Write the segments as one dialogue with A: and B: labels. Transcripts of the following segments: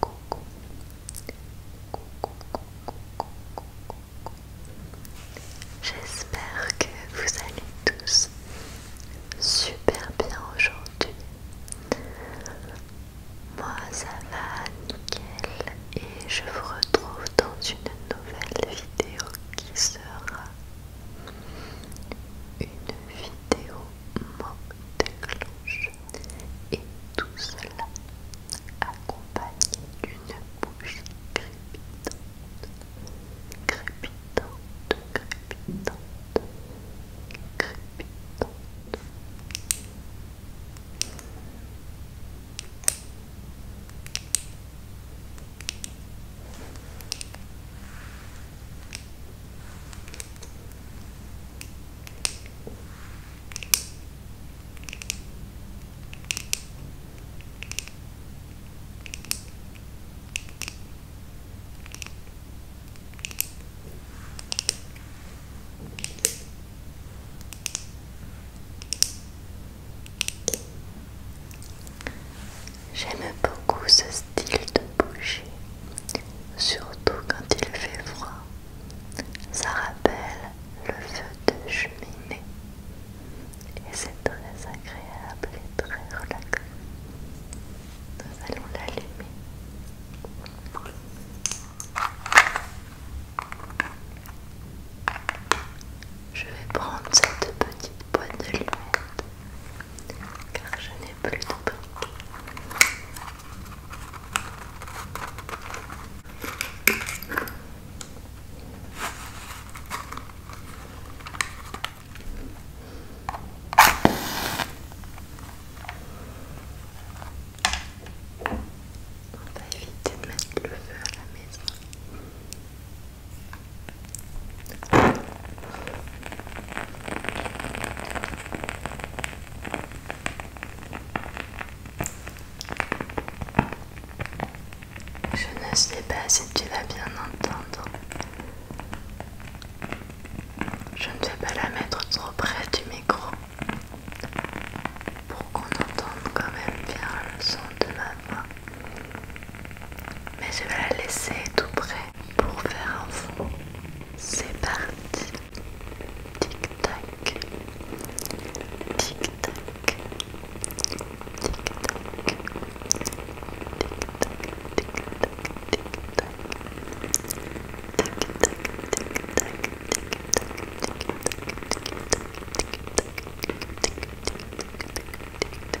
A: Coucou. J'espère que vous allez tous super bien aujourd'hui. Moi ça va nickel et je vous retrouve dans une nouvelle vidéo qui sera une vidéo mot et tout cela accompagné d'une bouche crépitante, crépitante, crépitante, crépitante. J'aime beaucoup ce style de bouger surtout quand il fait froid. Ça rappelle le feu de cheminée. Et c'est très agréable et très relaxant. Nous allons l'allumer. Je vais prendre cette petite boîte de lunettes car je n'ai plus de pain. On va éviter de mettre le feu à la maison. Je ne sais pas si tu vas bien entendre. Je ne vais pas la mettre trop près du micro pour qu'on entende quand même bien le son de ma voix. Mais je vais la laisser tout près pour faire un fond C'est parti Tic tac Tic tac Tic tac Tic tac Tic tac Tic tac Tic tac Tic tac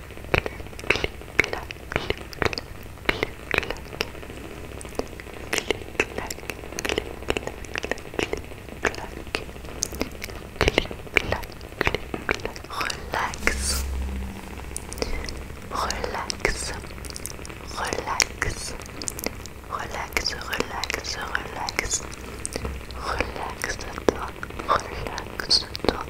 A: Relax. Relax. Relax. Relax, relax, relaxe relaxe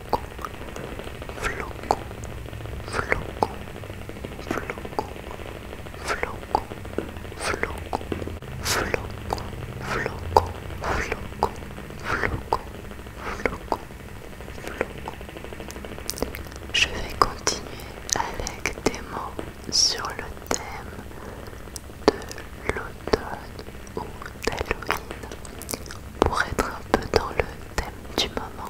A: floco floco floco floco floco floco floco floco floco floco floco floco Je vais continuer avec des mots sur le thème de l'automne ou d'Halloween pour être un peu dans le thème du moment.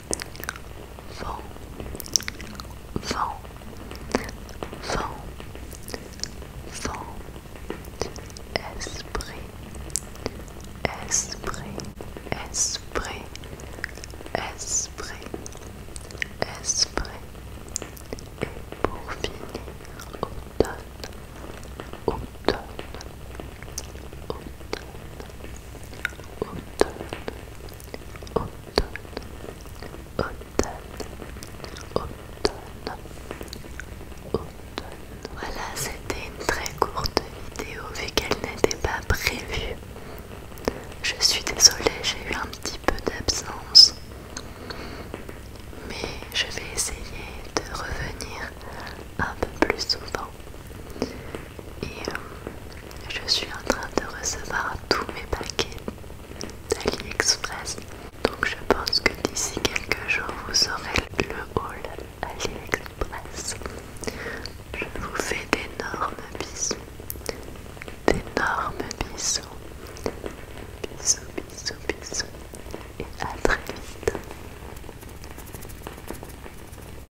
A: vent, vent, vent, vent, esprit, esprit, esprit, esprit, esprit, et pour finir, automne, automne, automne. Voilà, c'était une très courte vidéo vu qu'elle n'était pas prévue. Je suis désolée, j'ai eu un petit peu d'absence. Mais je vais essayer de revenir un peu plus souvent et euh, je suis en train de recevoir tous mes paquets d'AliExpress. Donc je pense que d'ici quelques jours, vous aurez le haul AliExpress. Je vous fais d'énormes bisous. D'énormes bisous. Bisous, bisous, bisous. Et à très vite.